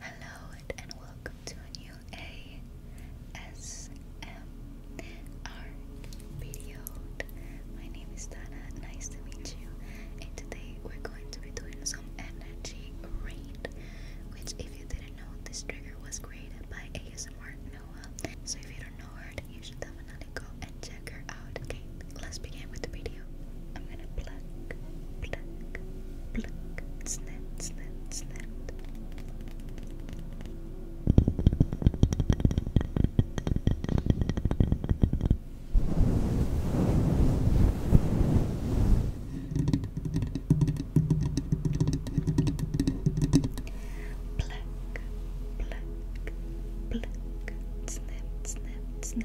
Hello and welcome to a new ASMR video. My name is Dana, nice to meet you. And today we're going to be doing some energy raid, which if you didn't know, this trigger was created by ASMR Noah. So if you don't know her, you should definitely go and check her out. Okay, let's begin with the video. I'm gonna pluck, pluck, pluck, snap, snap, snap. Pluck, pluck, pluck, snap, snap, snap.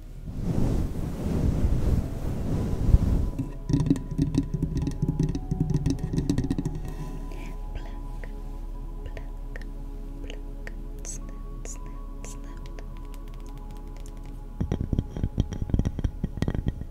Pluck, pluck, pluck, snap, snap, snap. Pluck, pluck, pluck,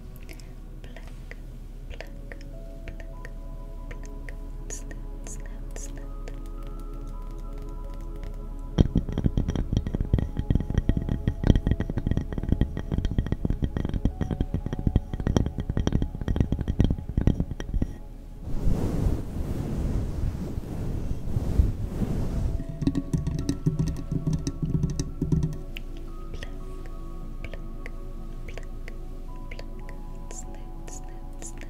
Pluck, pluck, pluck, pluck. Snap, snap, snap. Pluck, pluck, pluck, snip, snip,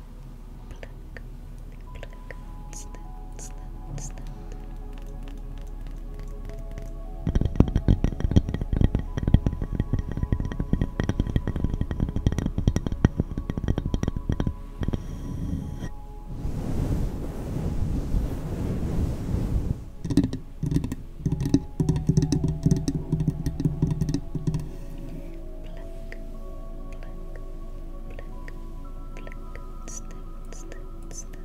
pluck, pluck, snap, snap, snap pluck, snip, I'm gonna pluck, pluck, pluck, snip, snip, snip.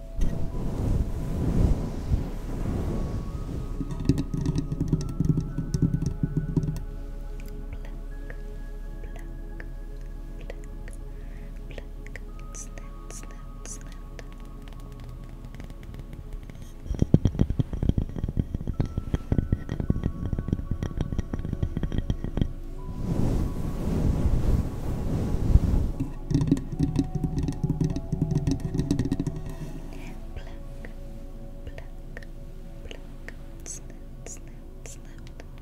pluck, snap, snap, snap. Pluck, Pluck, pluck, pluck, snap, snap, snap. Pluck,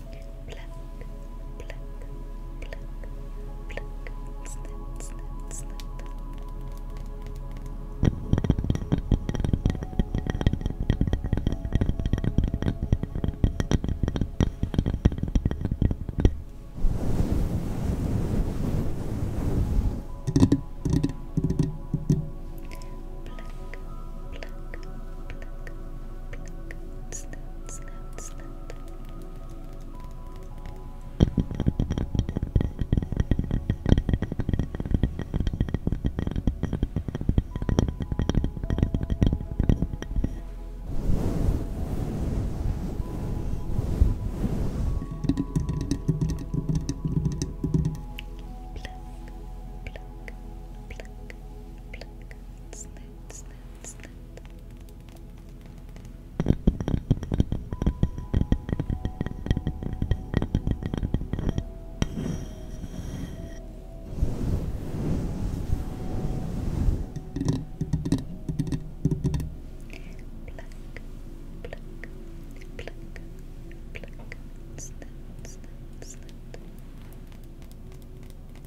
Pluck, pluck, pluck, pluck, snip, snip, snip. Pluck, pluck, pluck, pluck, snip, snap, snap. Pluck, pluck, pluck, pluck, snap, snip, snip. Pluck, pluck, pluck, pluck, snip, snip, snip. Pluck, pluck, pluck, pluck,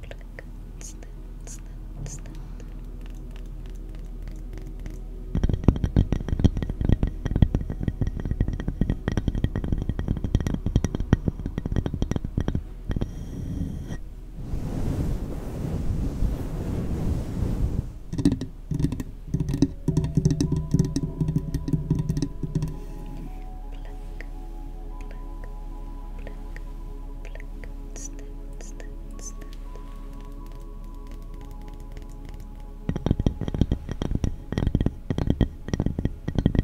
pluck, snip, snip, snip. Pluck, pluck, pluck, pluck, snip, snip, sense that. I'm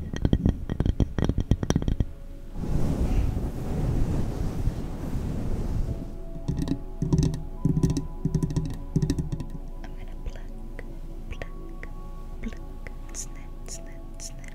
gonna pluck, pluck, pluck, snap, snap, snap.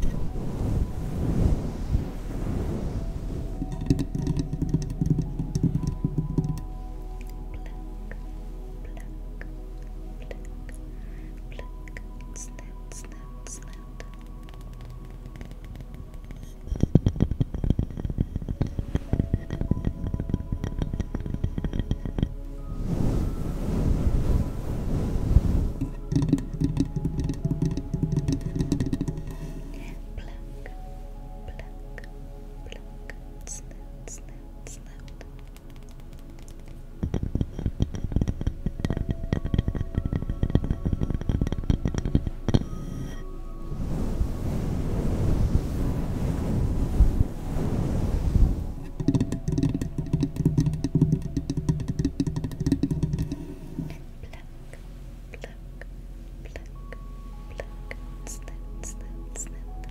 pluck, snap, snap, snap. Pluck, Pluck, pluck, pluck, snout, snout, snout. Pluck, pluck, pluck, pluck, snip, snip, snip. Pluck,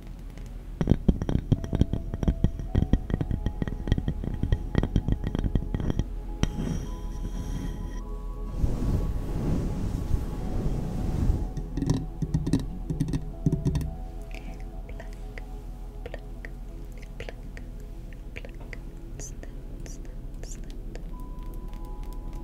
Pluck, pluck, snap, snap, snap.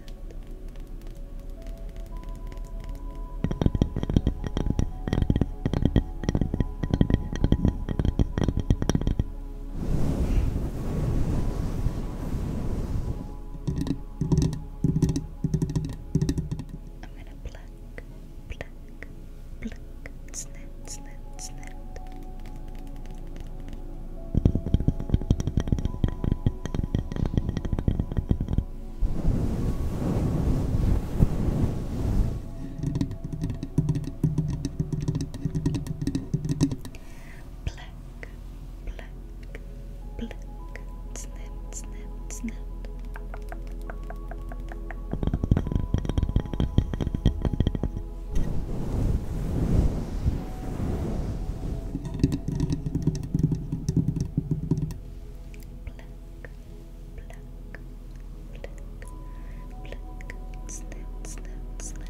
I'm gonna pluck, pluck, pluck, snip, snip, snip. Black, black, black, snip, snip, snip. Black, pluck, snout, snout, snout.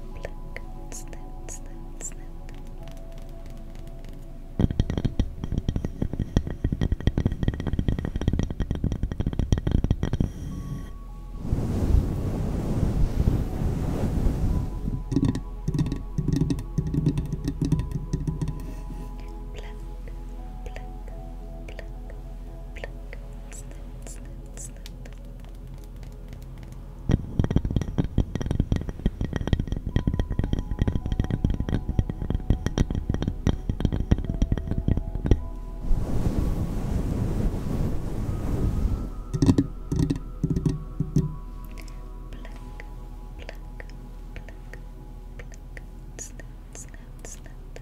Pluck, snip, snip, snip. Pluck, pluck, pluck, pluck, snip, snip, snip. Pluck, Pluck, pluck, pluck, pluck, snap, snap, snap,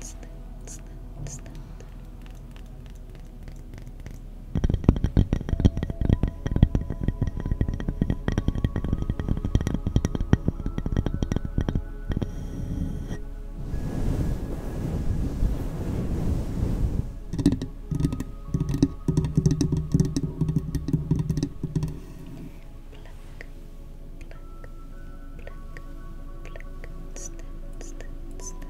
Snap, snap, snap. Pluck, pluck, snap, snap, snap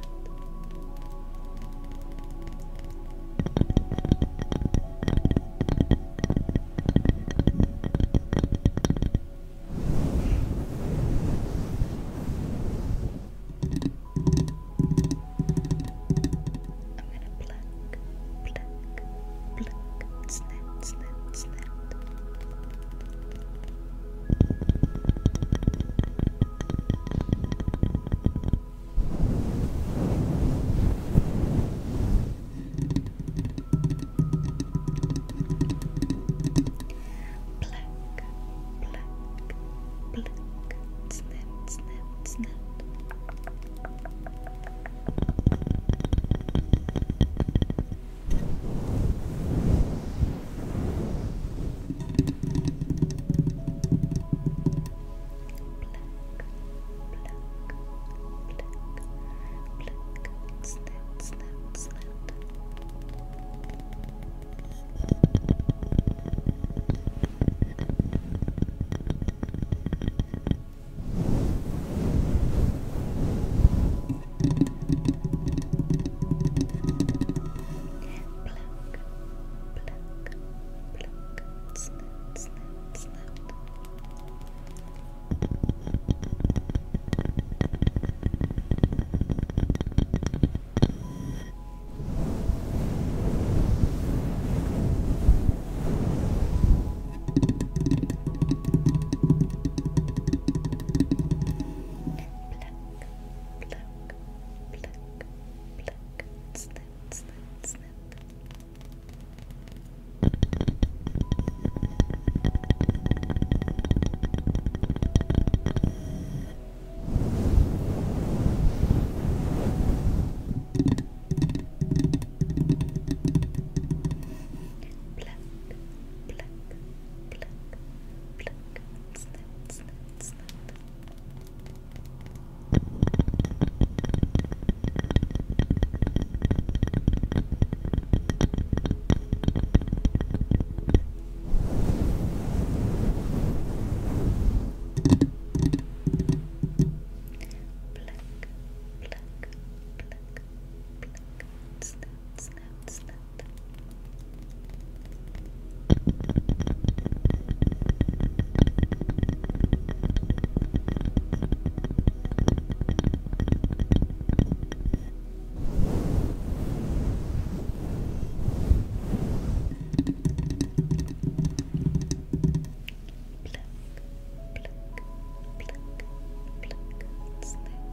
pluck, snap, snap, snap. Pluck, Black, black, black, snip, snip, snip. Black, pluck, snip, snip, snip. Pluck, pluck, pluck, snip, slip, slip. Pluck, pluck, pluck, pluck, slip, slip, slip. Pluck, pluck, pluck, snap, snap, snap. Snap, snap, snap snap,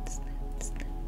snap, snap.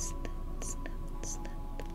Snap, snap, snap.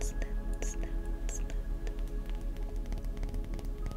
Snap, snap, snap.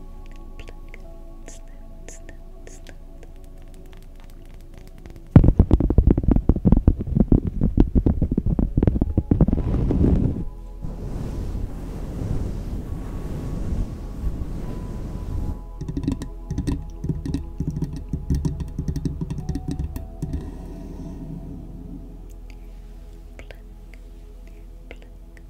Snap, snap, snap. Pluck, pluck, pluck,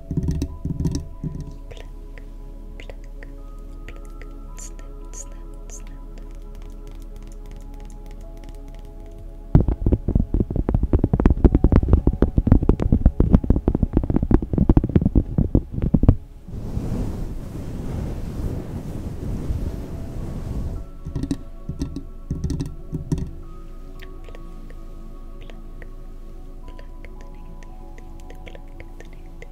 Pluck, pluck, pluck, snip, snip, snip. Pluck, pluck, pluck the negative, the pluck, the negative,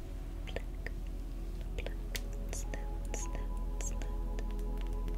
Pluck, pluck, snout, snout, snout. Pluck, pluck,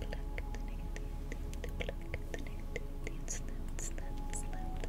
Pluck the negativity, pluck the negativity. It's not, it's not, it's not.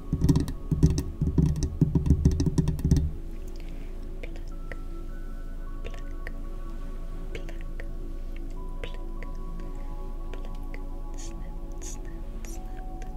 snip, snip, snip. Pluck,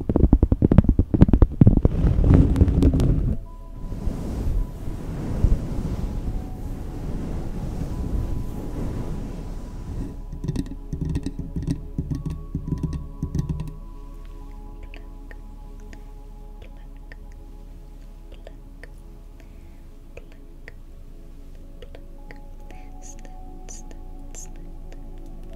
Pluck, pluck, pluck, slit, slit, slit, Pluck, pluck,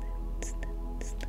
slow, slow, slow.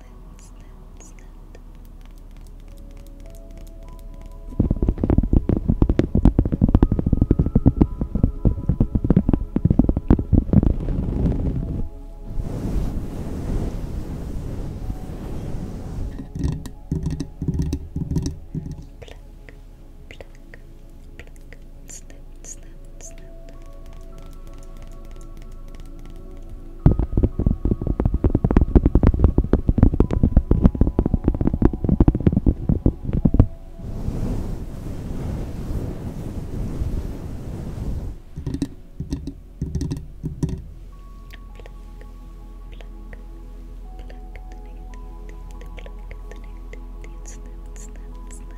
slit, slit, slit. Pluck, pluck, pluck, Snap, snap, snap.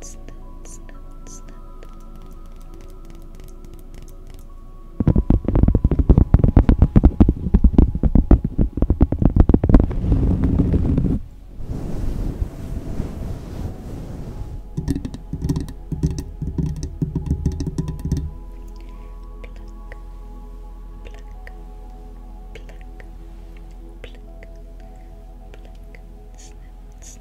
Snap, snap, snap, Pluck, pluck, pluck, snip, snip,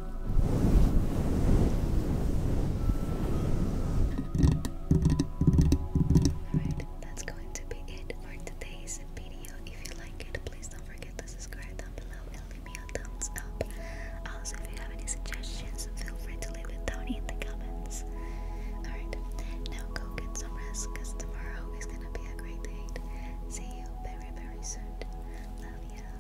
Alright, that's going to be it for today's video. If you like it, please don't forget to subscribe down below and leave me a thumbs up. Also, if you have any suggestions, feel free to leave it down in the comments. Alright, now go get some rest because tomorrow is gonna be a great day. See you very, very soon. Love ya.